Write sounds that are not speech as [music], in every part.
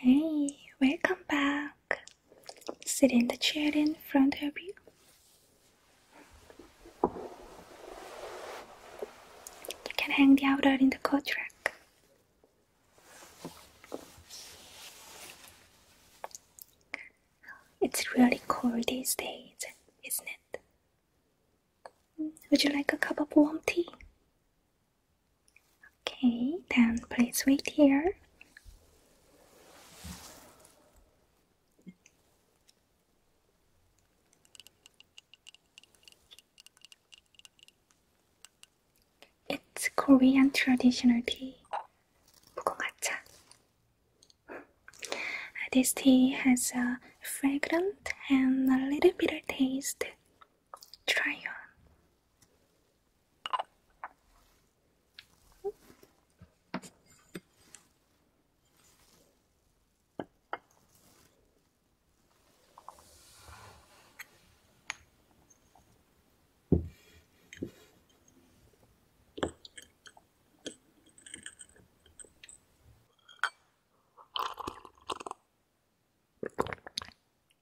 Hey, welcome back. Sit in the chair in front of you. You can hang the outer in the coat rack. It's really cold these days, isn't it? Would you like a cup of warm tea? Okay, then please wait here. It's Korean traditional tea. 무궁화차. This tea has a fragrant and a little bitter taste. Try on.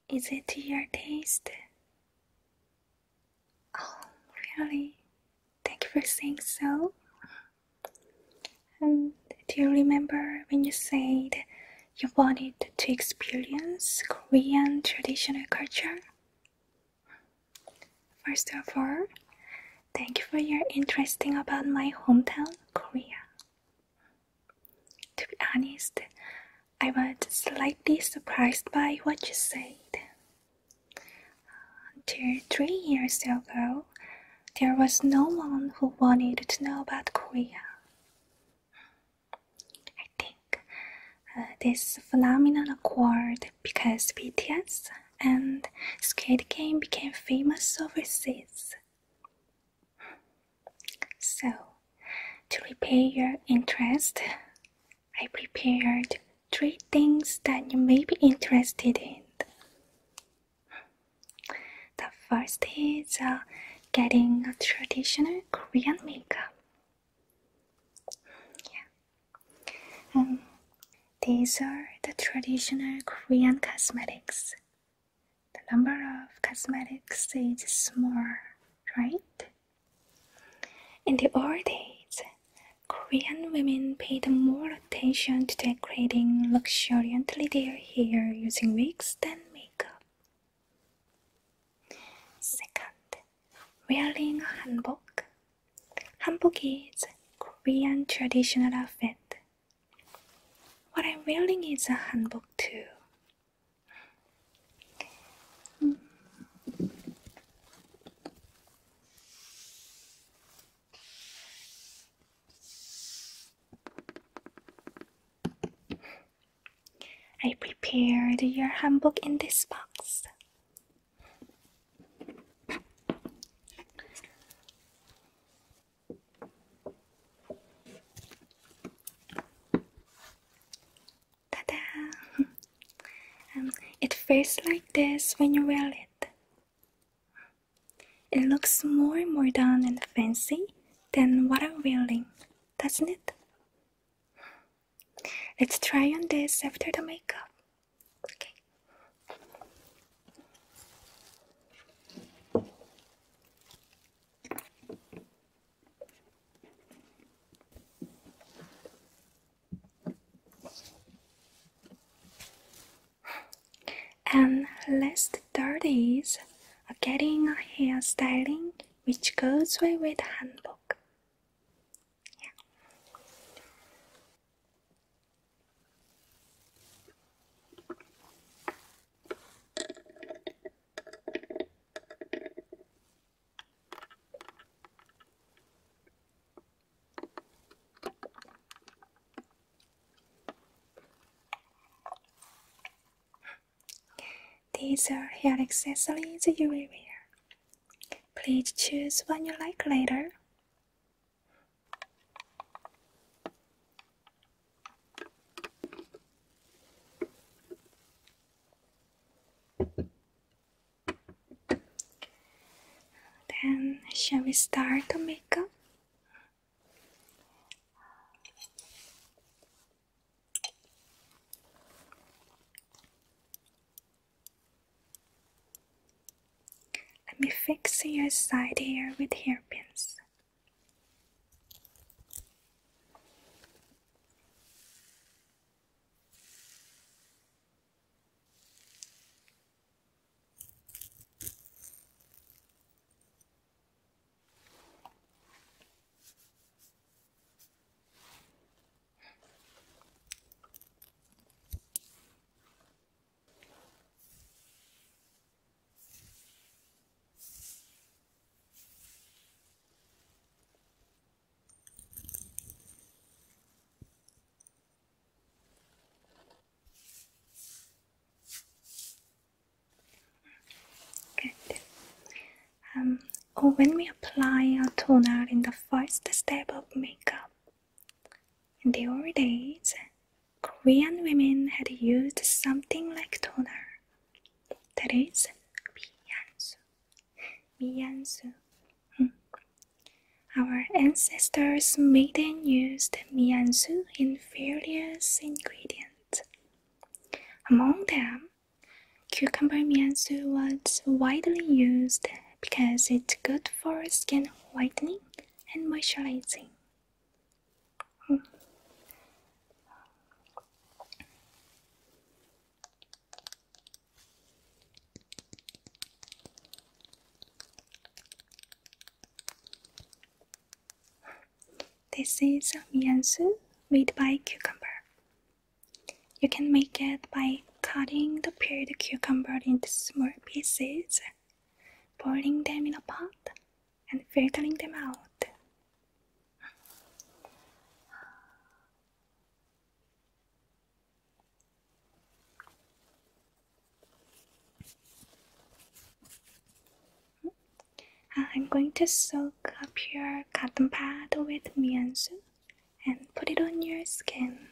Is it to your taste? Oh, really? Thank you for saying so. Um, do you remember when you said you wanted to experience Korean traditional culture? First of all, thank you for your interest in about my hometown, Korea. To be honest, I was slightly surprised by what you said. Until uh, three years ago, there was no one who wanted to know about Korea. I think this phenomenon occurred because BTS and Squid Game became famous overseas. So, to repay your interest, I prepared three things that you may be interested in. The first is uh, getting a traditional Korean makeup. Yeah. Um, these are the traditional Korean cosmetics. The number of cosmetics is small, right? In the old days, Korean women paid more attention to decorating luxuriantly their hair using wigs than makeup. Second, wearing hanbok Hanbok is Korean traditional outfit. What I'm wearing is a hanbok too. I prepared your hanbok in this box. Ta-da! Um, it feels like this when you wear it. It looks more and more done and fancy than what I'm wearing, doesn't it? Let's try on this after the makeup. Okay. And last third is getting a hairstyling which goes well with handbook. These are hair accessories you will wear Please choose one you like later. Then, shall we start the makeup? Let me fix your side hair with hairpins. Good. Um, or when we apply a toner in the first step of makeup. In the old days, Korean women had used something like toner. That is 미안수. 미안수. Hmm. Our ancestors made and used mianzu in various ingredients. Among them, cucumber mianzu was widely used because it's good for skin whitening and moisturizing. This is miansu made by cucumber. You can make it by cutting the peeled cucumber into small pieces, boiling them in a pot, and filtering them out. Uh, I'm going to soak a pure cotton pad with miansu and put it on your skin.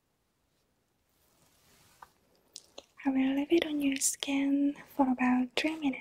I will leave it on your skin for about 3 minutes.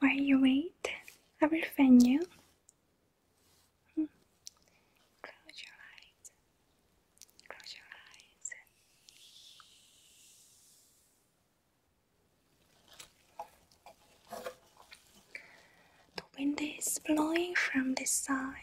While you wait, I will find you. Hmm. Close your eyes. Close your eyes. The wind is blowing from this side.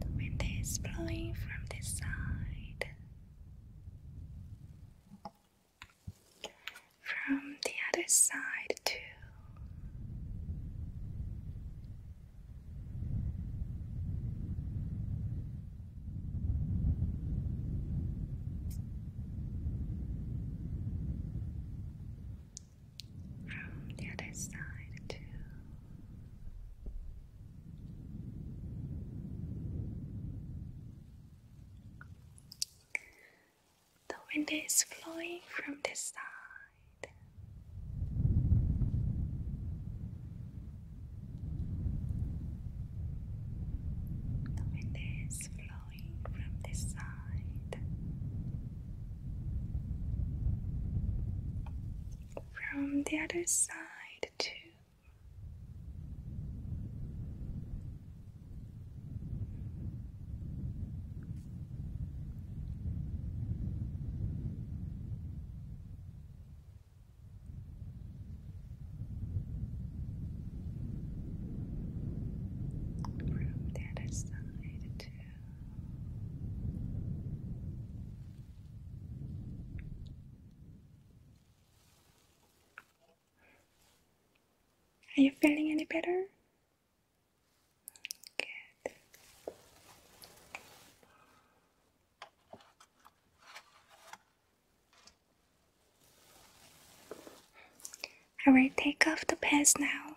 The wind is blowing from this side. From the other side, too from the other side too. The wind is flowing from this side. The wind is flowing from this side. From the other side, too. From the other side. Are you feeling any better? Good. I will take off the pants now.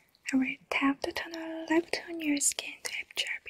I will tap the toner left on your skin to absorb it.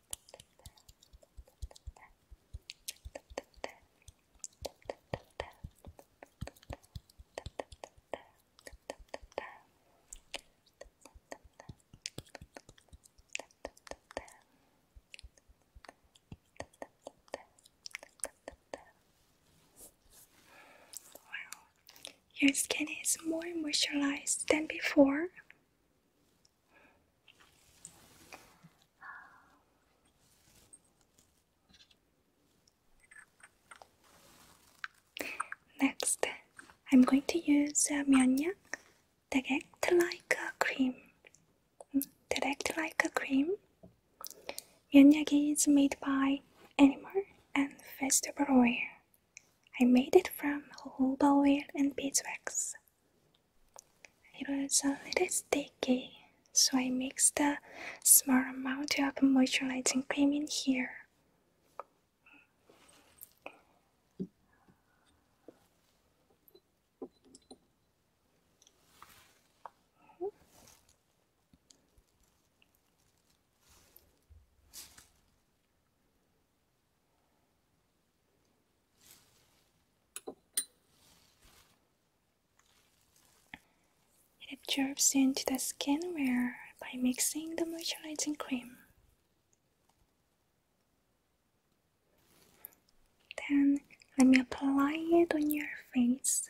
Wow, your skin is more moisturized than before. Next, I'm going to use a uh, myeonyak that act like a cream. That act like a cream. Myeonyak is made by animal and vegetable oil. I made it from jojoba oil and beeswax. It was a little sticky, so I mixed a small amount of moisturizing cream in here. It absorbs into the skin where by mixing the moisturizing cream. Then let me apply it on your face.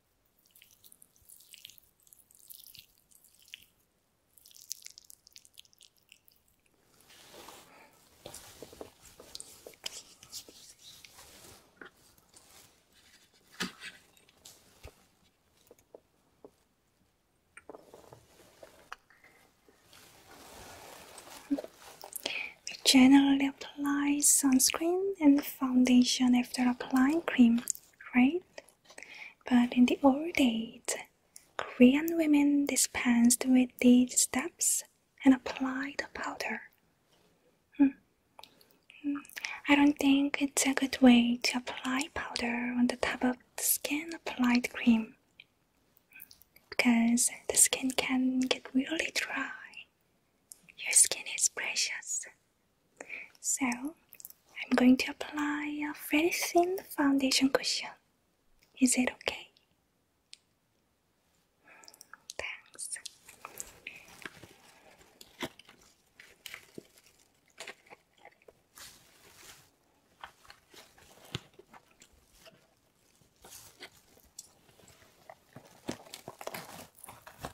We generally apply sunscreen and foundation after applying cream right? But in the old days, Korean women dispensed with these steps and applied the powder. Hmm. I don't think it's a good way to apply powder on the top of the skin applied cream because the skin can get really dry. Your skin is precious. So, I'm going to apply a very thin foundation cushion. Is it okay? Thanks.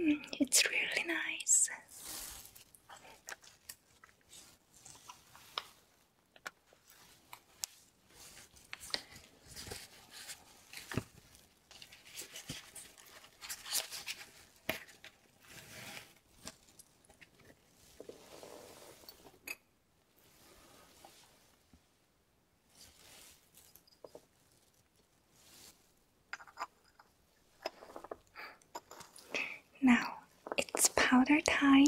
Mm, it's really nice. Now it's powder time.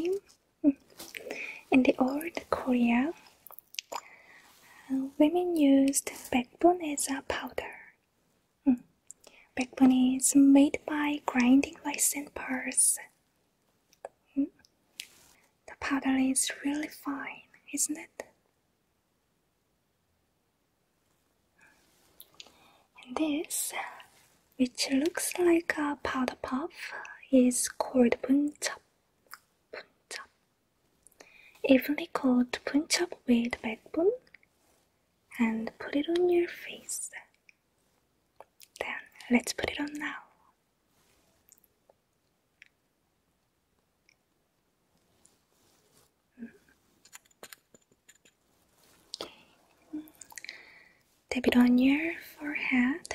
[laughs] In the old Korea, women used hmm. backbone as a powder. Mm. is made by grinding rice and hmm. The powder is really fine, isn't it? this, which looks like a powder puff, is called bunchap. bunchap. Evenly coat punch up with backbone and put it on your face. Then let's put it on now. Okay. Tap it on your forehead.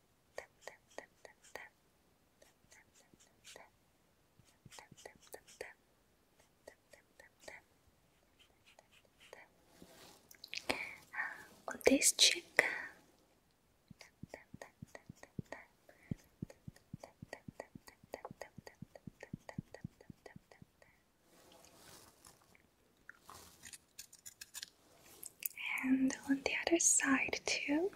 Und uh, this chick and on the other side too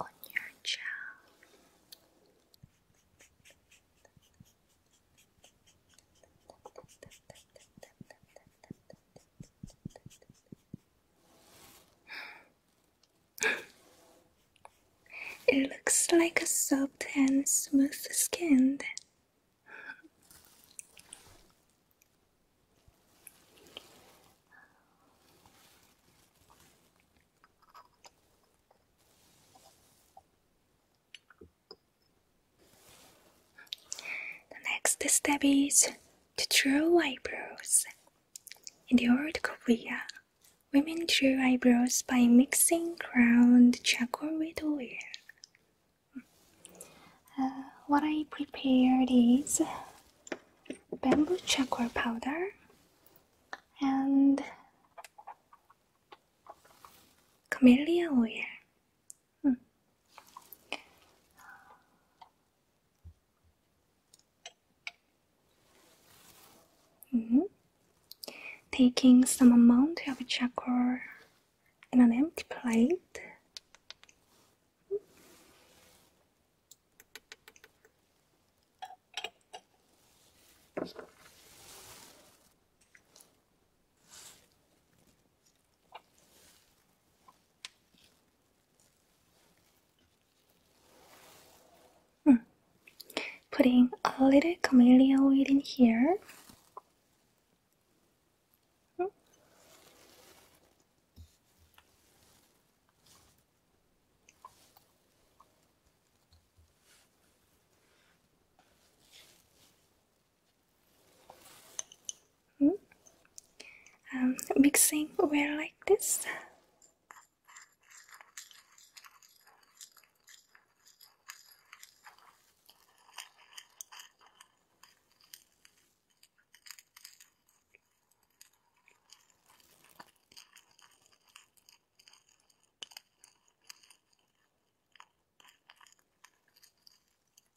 on your jaw. It looks like a soft and smooth skin. The next step is to draw eyebrows. In the old Korea, women drew eyebrows by mixing ground charcoal with oil. Uh, what I prepared is bamboo charcoal powder and camellia oil. Hmm. Taking some amount of chakra in an empty plate. Putting a little camellia oil in here mm? um, mixing well like this.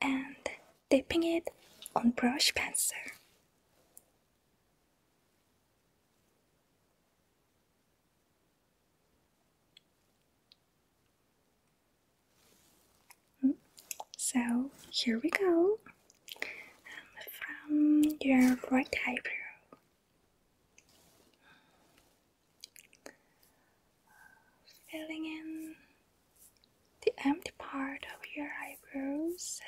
and dipping it on brush pencil. Hmm. So here we go um, from your right eyebrow filling in the empty part of your eyebrows.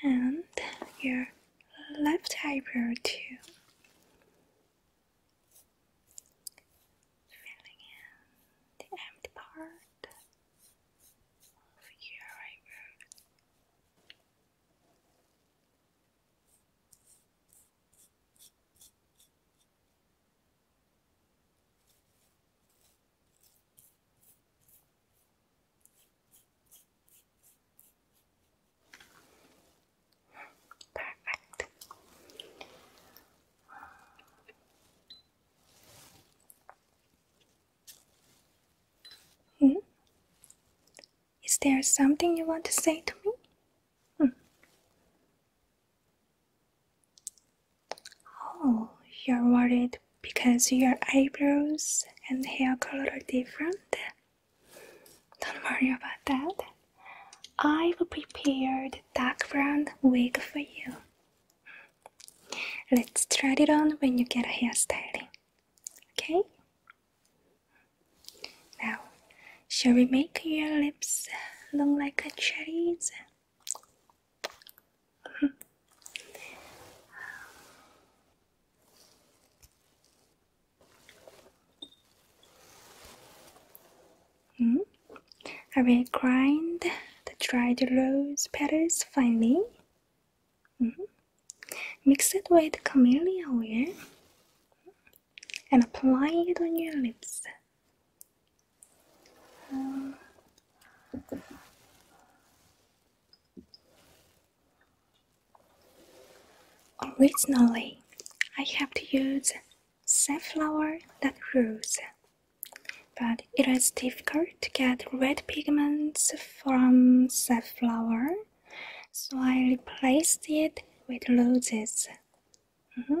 and your left eyebrow too filling in the empty part of your eyebrow. Perfect. Hmm? Is there something you want to say to me? Hmm. Oh, you're worried because your eyebrows and hair color are different? Don't worry about that. I've prepared dark brown wig for you. Let's try it on when you get a hairstyling. Okay? Now, shall we make your lips look like cherries? I hmm? will grind the dried rose petals finely. Hmm? Mix it with camellia oil and apply it on your lips. originally, I have to use safflower that grows, but it is difficult to get red pigments from safflower, so I replaced it with roses. Mm-hmm.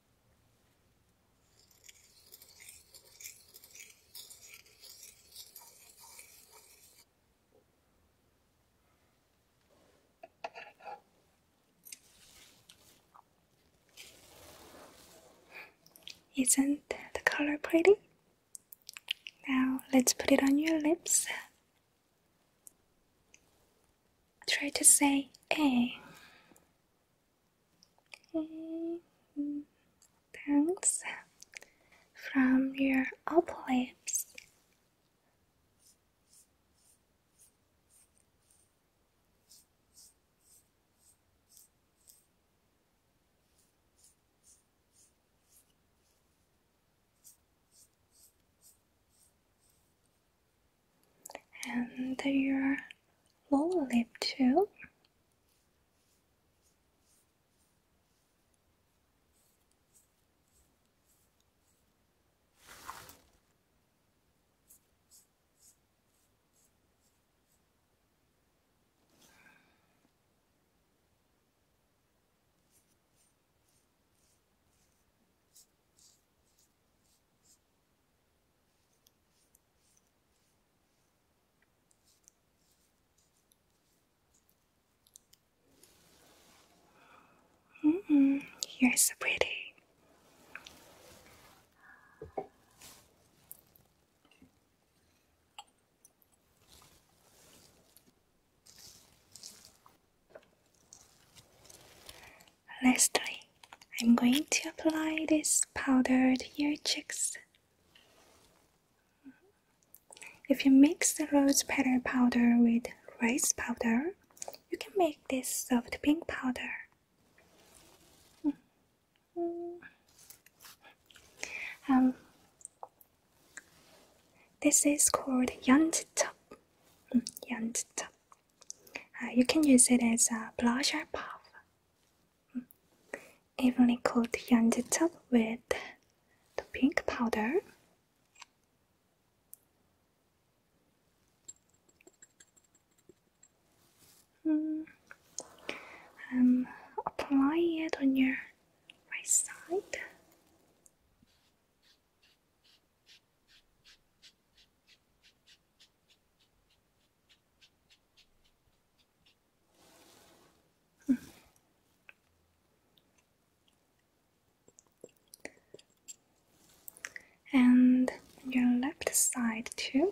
Isn't the color pretty? Now let's put it on your lips. Try to say A. Eh. Okay. Thanks. From your upper lips and your lower lip too. Mm -mm, you're so pretty. Lastly, I'm going to apply this powdered to your cheeks. If you mix the rose powder powder with rice powder, you can make this soft pink powder. Um, this is called yanjitop. Mm, yanjitop. Uh, you can use it as a blusher puff. Hmm. Evenly coat your top with the pink powder. Hmm. Um, apply it on your right side. And your left side too.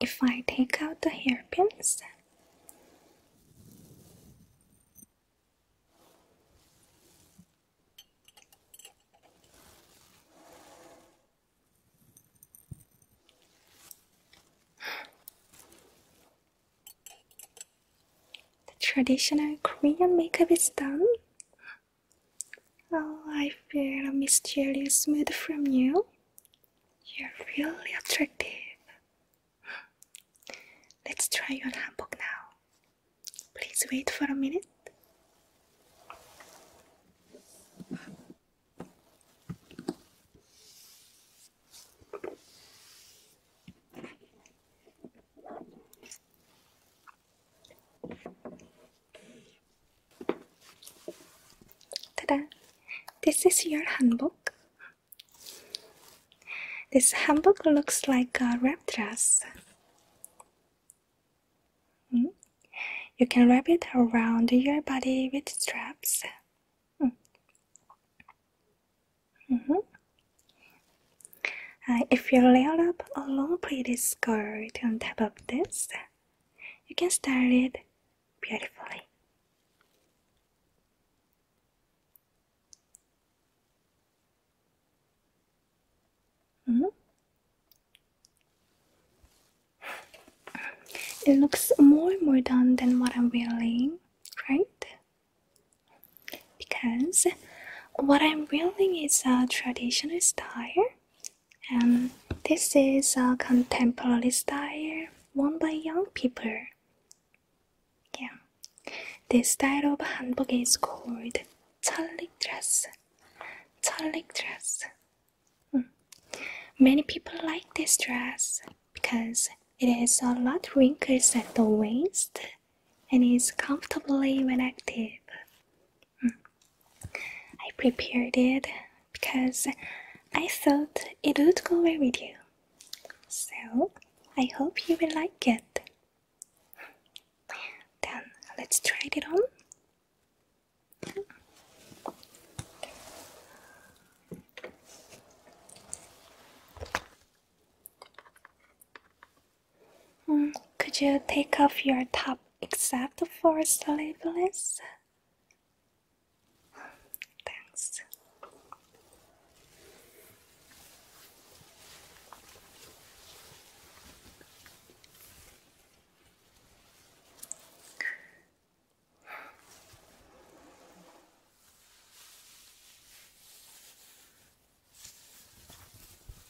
If I take out the hairpins, the traditional Korean makeup is done. Oh, I feel a mysterious mood from you. You're really attractive. Let's try your handbook now. Please wait for a minute. Ta-da! This is your handbook. This handbook looks like a wrap dress. Hmm? You can wrap it around your body with straps. Hmm. Mm-hmm. Uh, if you layer up a long pretty skirt on top of this, you can style it beautifully. -hmm. It looks more and more done than what I'm wearing, right? Because what I'm wearing is a traditional style and um, this is a contemporary style worn by young people. Yeah, this style of hanbok is called chalik dress. Chalik dress. Hmm. Many people like this dress because it has a lot wrinkles at the waist and is comfortably when active. Hmm. I prepared it because I thought it would go well with you. So I hope you will like it. Then let's try it on could you take off your top except for sleeveless? Thanks.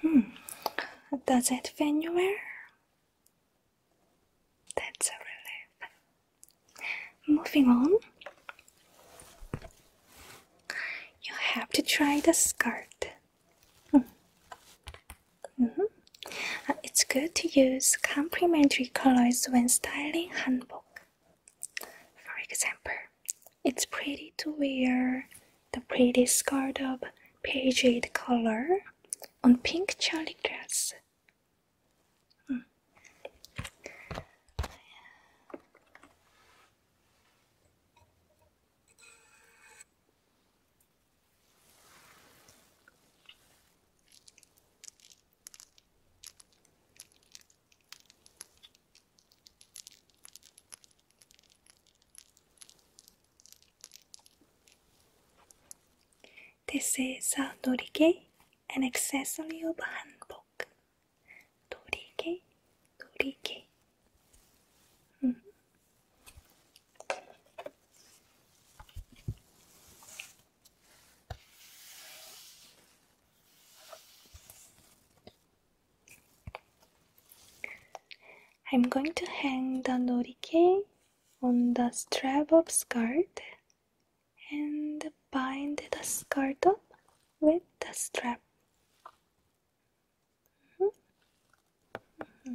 Hmm. Does it fit anywhere? That's a relief. Moving on. You have to try the skirt. Mm. Mm it's good to use complementary colors when styling hanbok. For example, it's pretty to wear the pretty skirt of paigeade color on pink charlie dress. This is a uh, norige, an accessory of hanbok. Norige, norige. Mm. I'm going to hang the norike on the strap of skirt and bind the skirt up with the strap. Mm-hmm. Mm-hmm.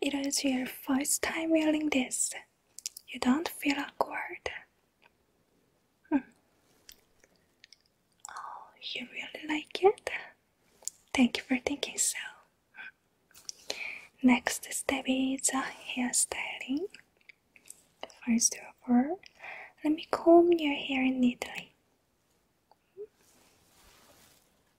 It is your first time wearing this. You don't feel awkward. Hmm. Oh, you really like it? Thank you for thinking so. Next step is hair styling. First of all, let me comb your hair neatly.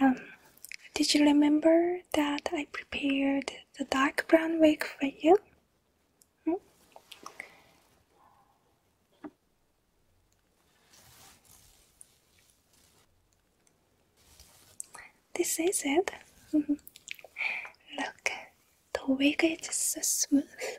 Um, did you remember that I prepared the dark brown wig for you? Hmm? This is it. Mm-hmm. Look, the wig is so smooth.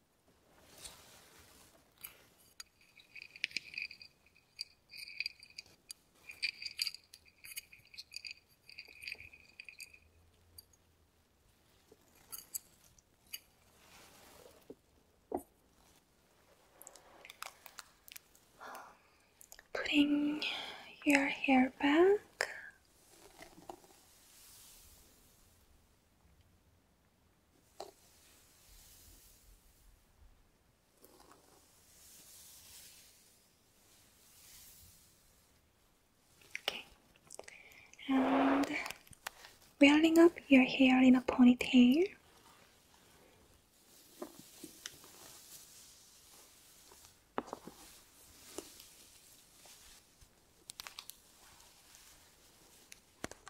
Putting your hair back. Okay, and building up your hair in a ponytail.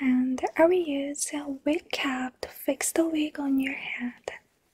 And I will use a wig cap to fix the wig on your head.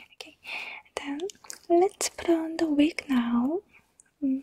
Okay, then let's put on the wig now. Mm.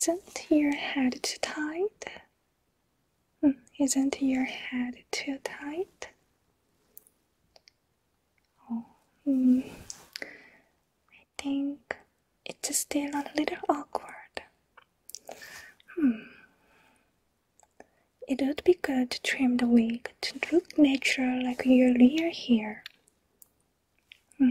Isn't your head too tight? Isn't your head too tight? Oh, mm, I think it's still a little awkward. Hmm. It would be good to trim the wig to look natural like your real hair. Hmm.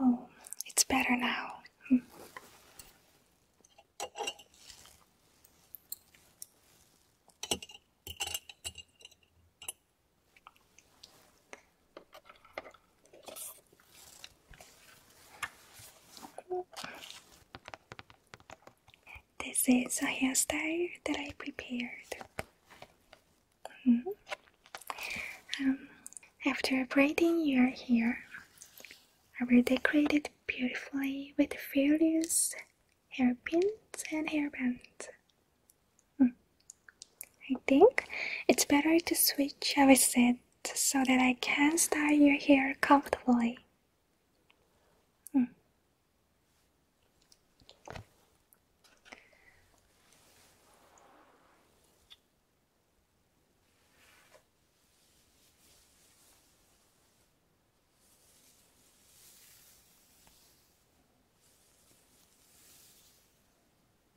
Oh, it's better now. Hmm. This is a hairstyle that I prepared. Mm-hmm. Um, after braiding your hair, I will decorate it beautifully with various hairpins and hairbands. Hmm. I think it's better to switch our set so that I can style your hair comfortably. Hmm.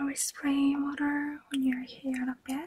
I will spray water on your hair a bit.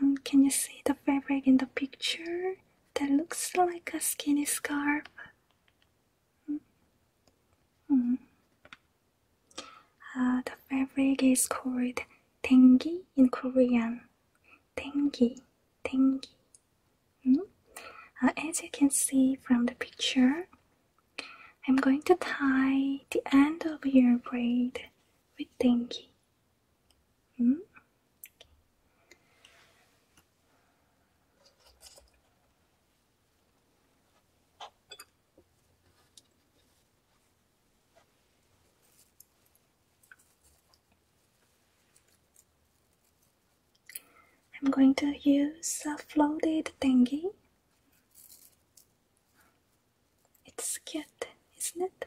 Um, can you see the fabric in the picture? That looks like a skinny scarf. Mm. Uh, the fabric is called tengi in Korean. Tengi, tengi. Mm. Uh, as you can see from the picture, I'm going to tie the end of your braid with tengi. Mm. I'm going to use a floated dengue. It's cute, isn't it?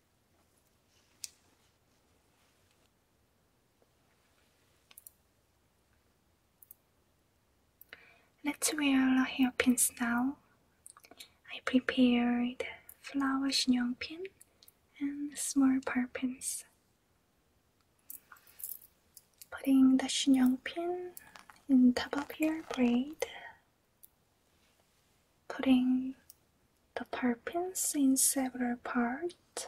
Let's wear our hairpins now. I prepared flower 신용 pin and small pins. Putting the 신용 pin in top of your braid. Putting the parpins in several parts.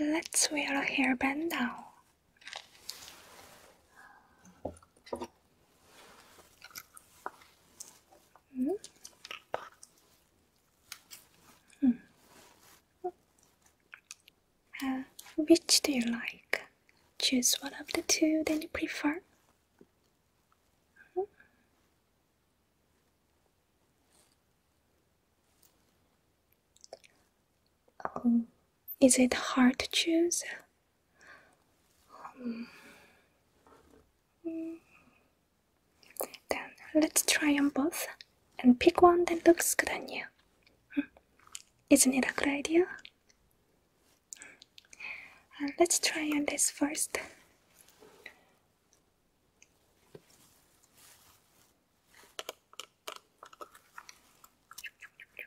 Okay, let's wear a hairband now Mm -hmm. which do you like? Choose one of the two that you prefer. Hmm. Um, is it hard to choose? Um, mm, then let's try on both and pick one that looks good on you. Hmm. Isn't it a good idea? Uh, let's try on this first.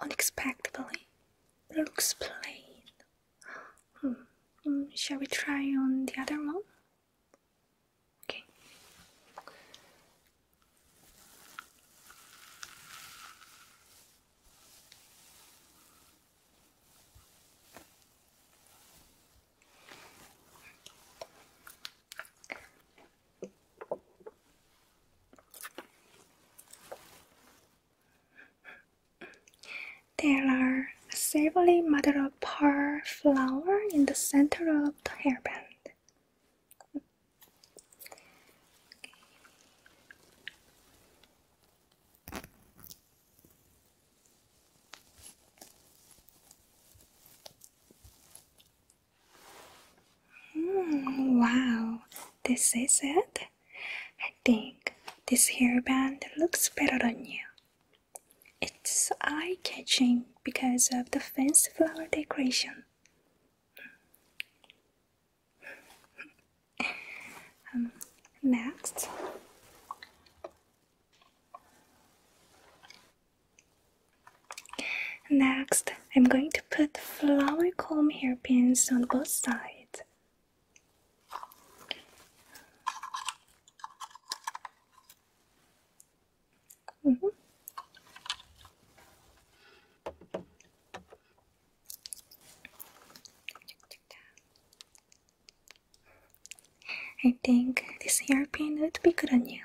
unexpectedly looks plain. Hmm, hmm. shall we try on the other one? Okay. There are a savory mother of pearl flower in the center of the hairband. Okay. Hmm, wow, this is it. I think this hairband looks better on you. It's eye catching because of the fancy flower decoration. um, next. Next, I'm going to put flower comb hairpins on both sides. Mm -hmm. I think this hairpin would be good on you.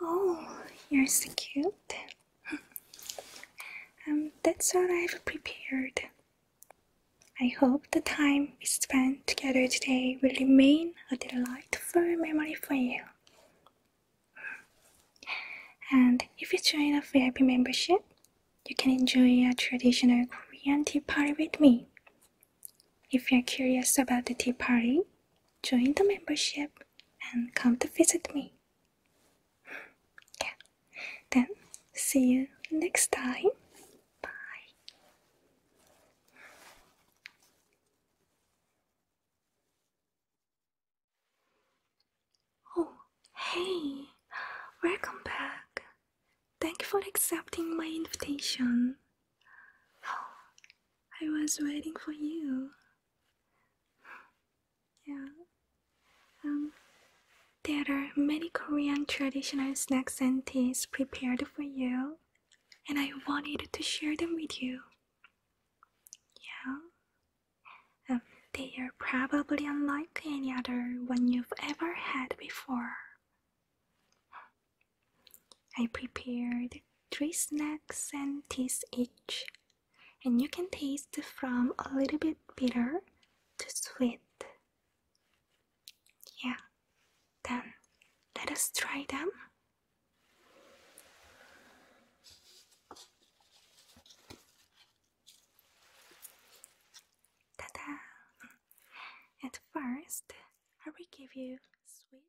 Oh, you're so cute. [laughs] Um, that's all I've prepared. I hope the time we spent together today will remain a delightful memory for you. And if you join a VIP membership, you can enjoy a traditional Korean tea party with me. If you're curious about the tea party, join the membership and come to visit me. Yeah. Then see you next time. Bye. Oh, hey. Welcome back. Thank you for accepting my invitation. Oh, I was waiting for you. Yeah. Um, there are many Korean traditional snacks and teas prepared for you, and I wanted to share them with you. Yeah. Um, they are probably unlike any other one you've ever had before. I prepared three snacks and teas each, and you can taste from a little bit bitter to sweet. Yeah, then let us try them. Ta-da! At first, I will give you sweet.